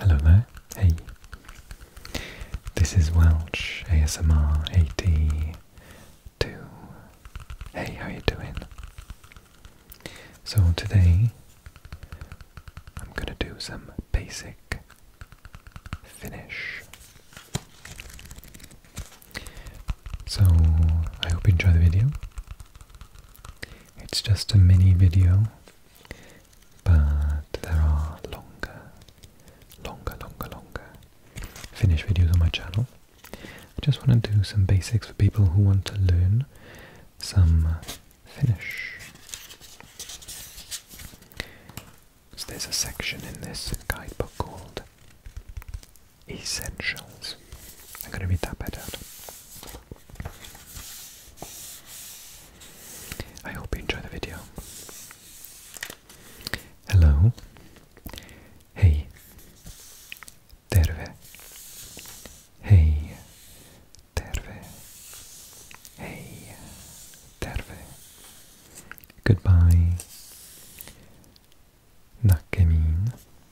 Hello there, hey. This is Welch ASMR 82. Hey, how you doing? So today I'm gonna do some basic finish. So I hope you enjoy the video. It's just a mini video, but there are longer, longer, longer, longer Finnish videos on my channel. I just want to do some basics for people who want to learn some Finnish. So there's a section in this guidebook called Essentials. I'm going to read that bit out. I hope you enjoy the video. Hello. Hey. Terve. Hey. Terve. Hey. Terve. Goodbye. Nakkemin.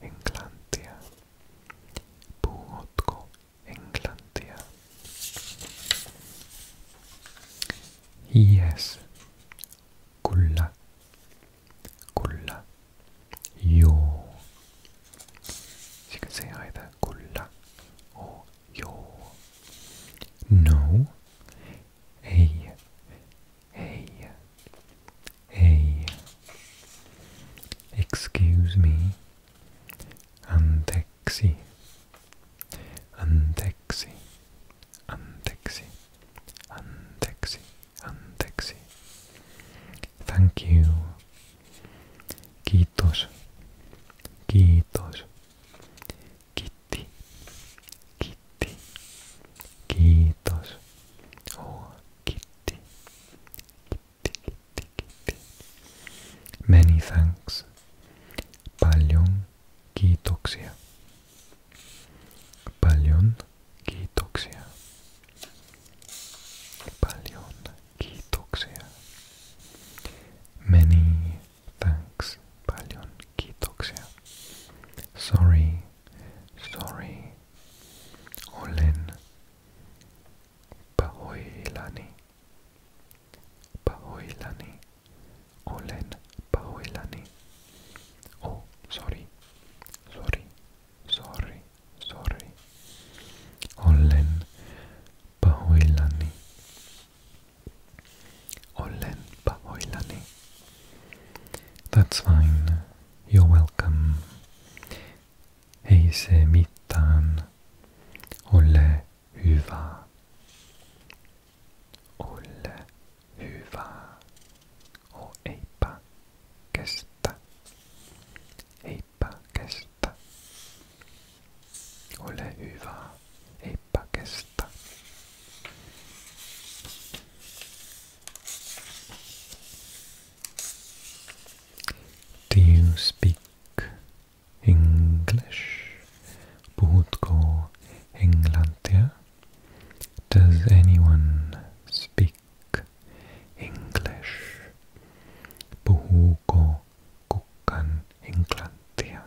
Englandia, Półotko Englantia Yes Kulla Kulla Yo You can say either Kulla or Yo No A A Hej. Excuse me. Anteeksi. Anteeksi. Anteeksi. Anteeksi. Anteeksi. Thank you. Kiitos. Kiitos. Kitti. Kitti. Kiitos. Oh, kitti. Kitti. Many thanks. Paljon kiitoksia. Paljon kiitoksia. Paljon kiitoksia. Many thanks. Paljon kiitoksia. Sorry. Sorry. Olen Pahoilani Pahoilani Olen Pahoilani Oh sorry sorry sorry sorry Olen Pahoilani Olen Pahoilani That's fine You're welcome. Ei se mitään. Ole hyvä. Ole hyvä. O eipä kestä. Eipä kestä. Ole hyvä. Eipä kestä. Do you speak English? Bhutko Englantia? Does anyone speak English? Bhuko Kukan Englantia.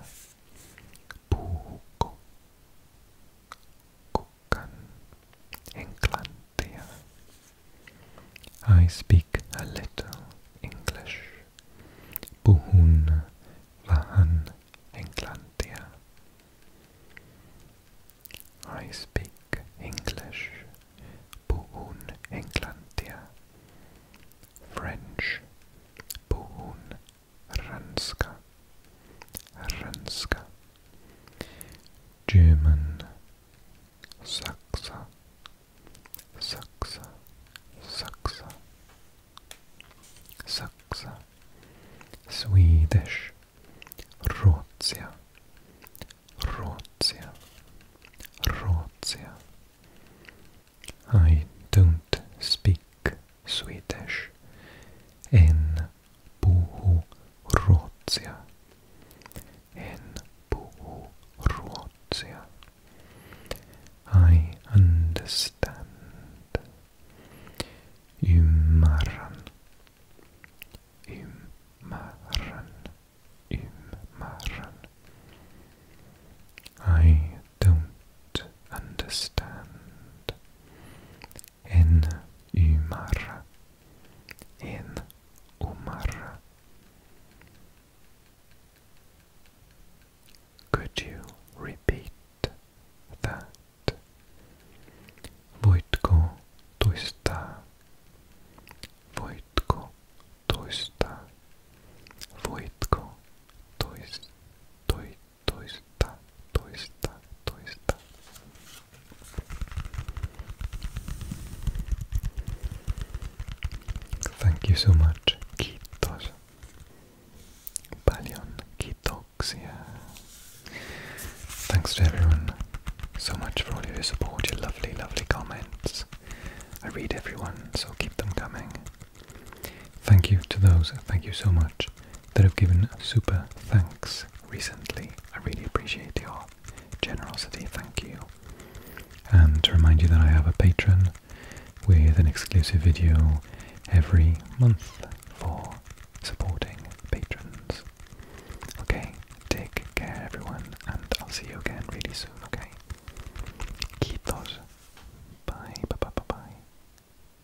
Bhuko Kukan England. I speak a little English. Puhun vähän englantia. I speak English. Puhun englantia. French. Puhun ranska. Ranska. German Sachse, Sachse, Sachse, Sachse, Swedish Rotsia, Rotsia, Rotsia. I don't speak Swedish in Puhuruotsia. En puhu ruotsia. I understand. Ymmärrän. Ymmärrän. Ymmärrän. I don't understand. En Umar. En Umar. Could you repeat that? Voitko toistaa? Voitko toistaa? Voitko tois, toi, Thank you so much. Kiitos. Paljon kiitoksia. Thanks to everyone so much for all your support, your lovely, lovely comments. I read everyone, so keep them coming. Thank you to those, thank you so much that have given super thanks recently. I really appreciate your generosity. Thank you. And to remind you that I have a patron with an exclusive video every month for supporting patrons. Okay, take care everyone, and I'll see you again really soon, okay? Kitos. Bye, bye, bye, bye, bye.